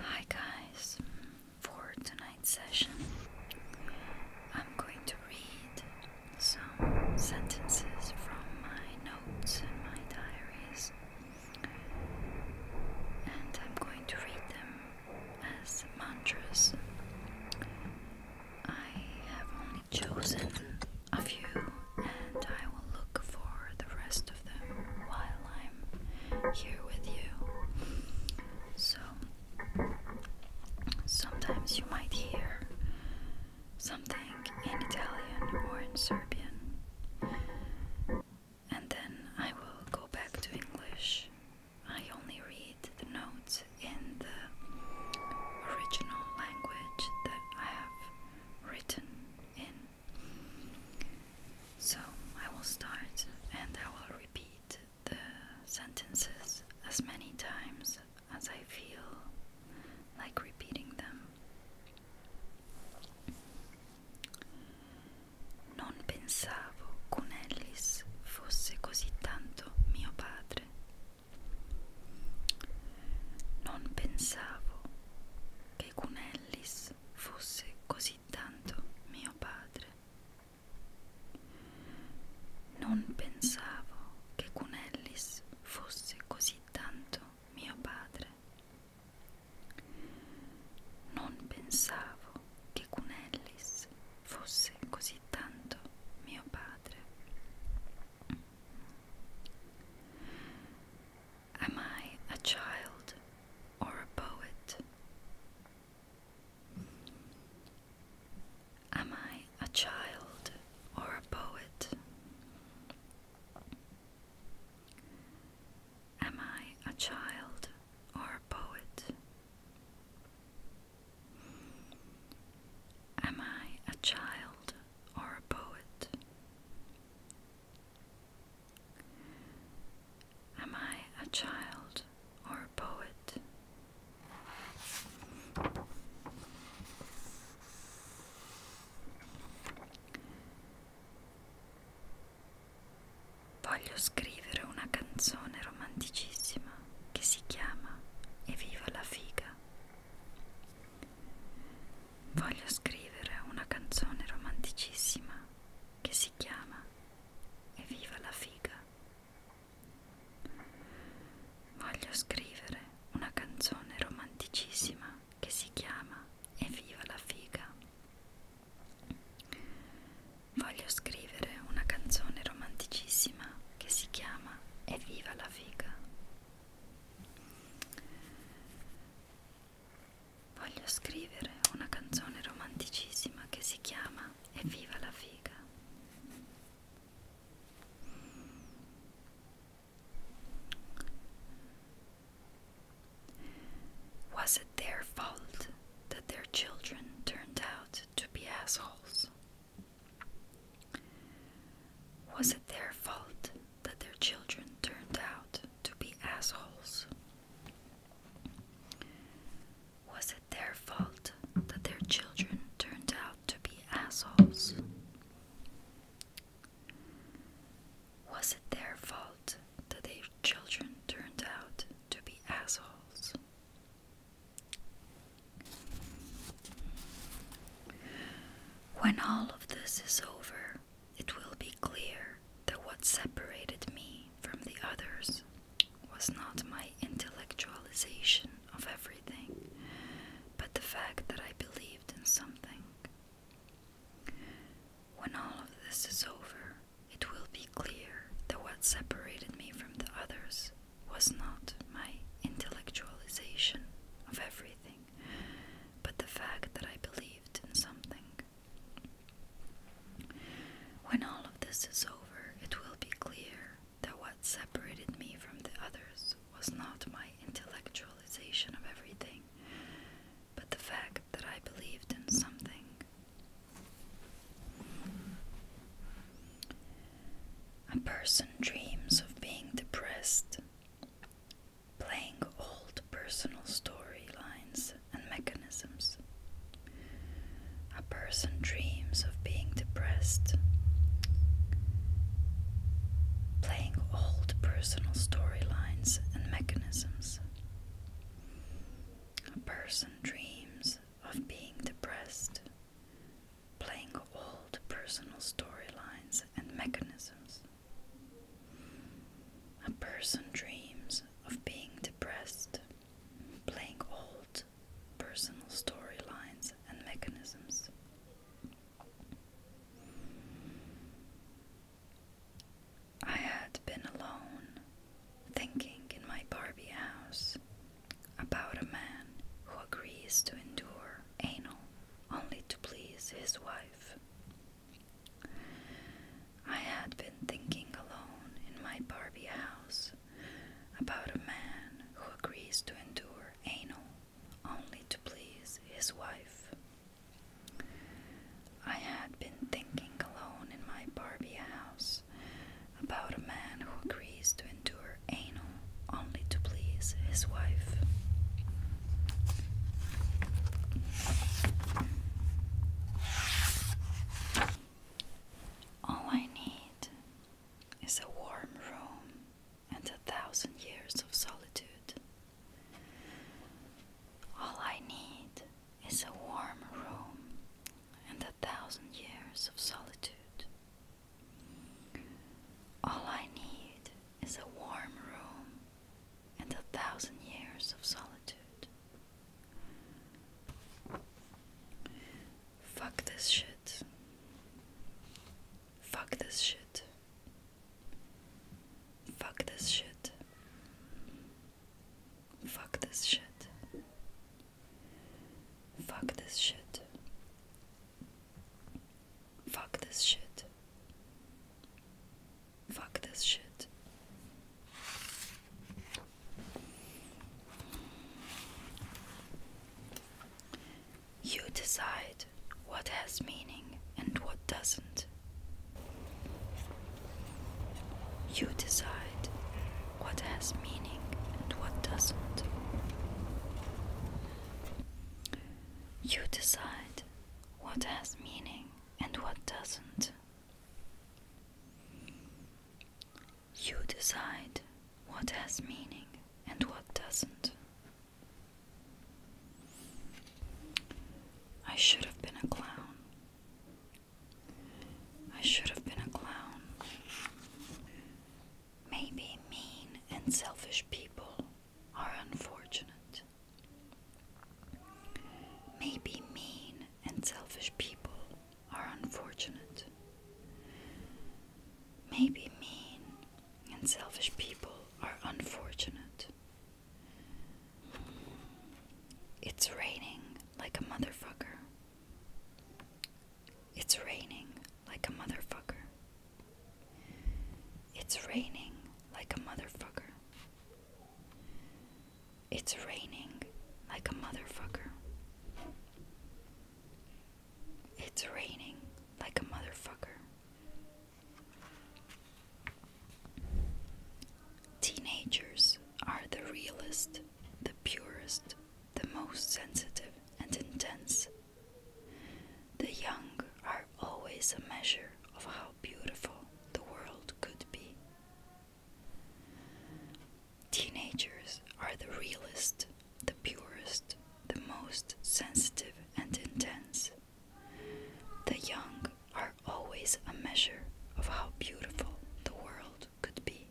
Hi guys, for tonight's session I'm going to read some sentences from my notes and my diaries and I'm going to read them as mantras. I have only chosen a few and I will look for the rest while I'm here with you. So sometimes you might hear something in Italian or in Serbian, and then I will go back to English. I only read the notes in the original language that I have written in so I will start and I will repeat the sentences as many times as I feel like repeating them. Non pensavo con fosse così tanto mio padre. Non pensavo che con Hans fosse così tanto mio padre. Non pensavo che Cunellis fosse così tanto mio padre. Non pensavo che Cunellis fosse così tanto mio padre. Am I a child or a poet? Am I a child or a poet? Am I a child or a poet? Am I a child or a poet? Am I a child or a poet? Voglio scrivere una canzone romanticissima che si chiama E viva la figa. Voglio scrivere una canzone romanticissima che si chiama E viva la figa. Voglio scrivere una canzone romanticissima che si chiama E viva la figa. Voglio scrivere una canzone romanticissima che si chiama E viva la figa. Voglio scrivere una canzone romanticissima che si chiama Evviva la figa. Was it their fault that their children turned out to be assholes? Was it their fault that their children turned out to be assholes. Was it their fault that their children turned out to be assholes? Was it their fault that their children turned out to be assholes? When all of this is over, it will be clear that what separated me from the others was not my intellectualization of everything, but the fact that I believed in something. When all of this is over, it will be clear that what separated me from the others was not my intellectualization of everything, but the fact that I believed in something. When all of this is over, it will be clear that what separated me from the others was not my intellectualization of everything, but the fact that I believed in something. A person dreams of being depressed playing old personal storylines and mechanisms. A person dreams of being depressed. Playing old personal storylines and mechanisms. A person dreams of being depressed playing old personal storylines and mechanisms. A person dreams of being depressed, playing old personal storylines and mechanisms. I had been alone, thinking in my Barbie house about a man who agrees to endure anal only to please his wife. I had been thinking alone in my Barbie house about a man who agrees to endure anal only to please his wife. I had been thinking alone in my Barbie house about a man who agrees to endure were anal only to please his wife. All I need is a warm room and a thousand years of solitude. All I need is a warm room and a thousand years of solitude. All I need is a warm room and a thousand years of solitude. Fuck this shit. Fuck this shit. Fuck this shit. Fuck this shit. Fuck this shit. Fuck this shit. Fuck this shit. You decide what has meaning and what doesn't. You decide what has meaning and what doesn't. You decide what has meaning and what doesn't. You decide what has meaning and what doesn't. I should have been a clown. I should have been a clown. Maybe mean and selfish people are unfortunate. Maybe mean and selfish people are unfortunate. Maybe mean and selfish people are unfortunate. It's raining like a motherfucker. It's raining like a motherfucker. It's raining like a motherfucker. It's raining like a motherfucker. It's raining like a motherfucker. Teenagers are the realest, the purest, the most sensitive and intense. The young are always a measure of how beautiful the world could be. Teenagers are the realest, the purest, the most sensitive and intense. The young are always a measure of how beautiful the world could be.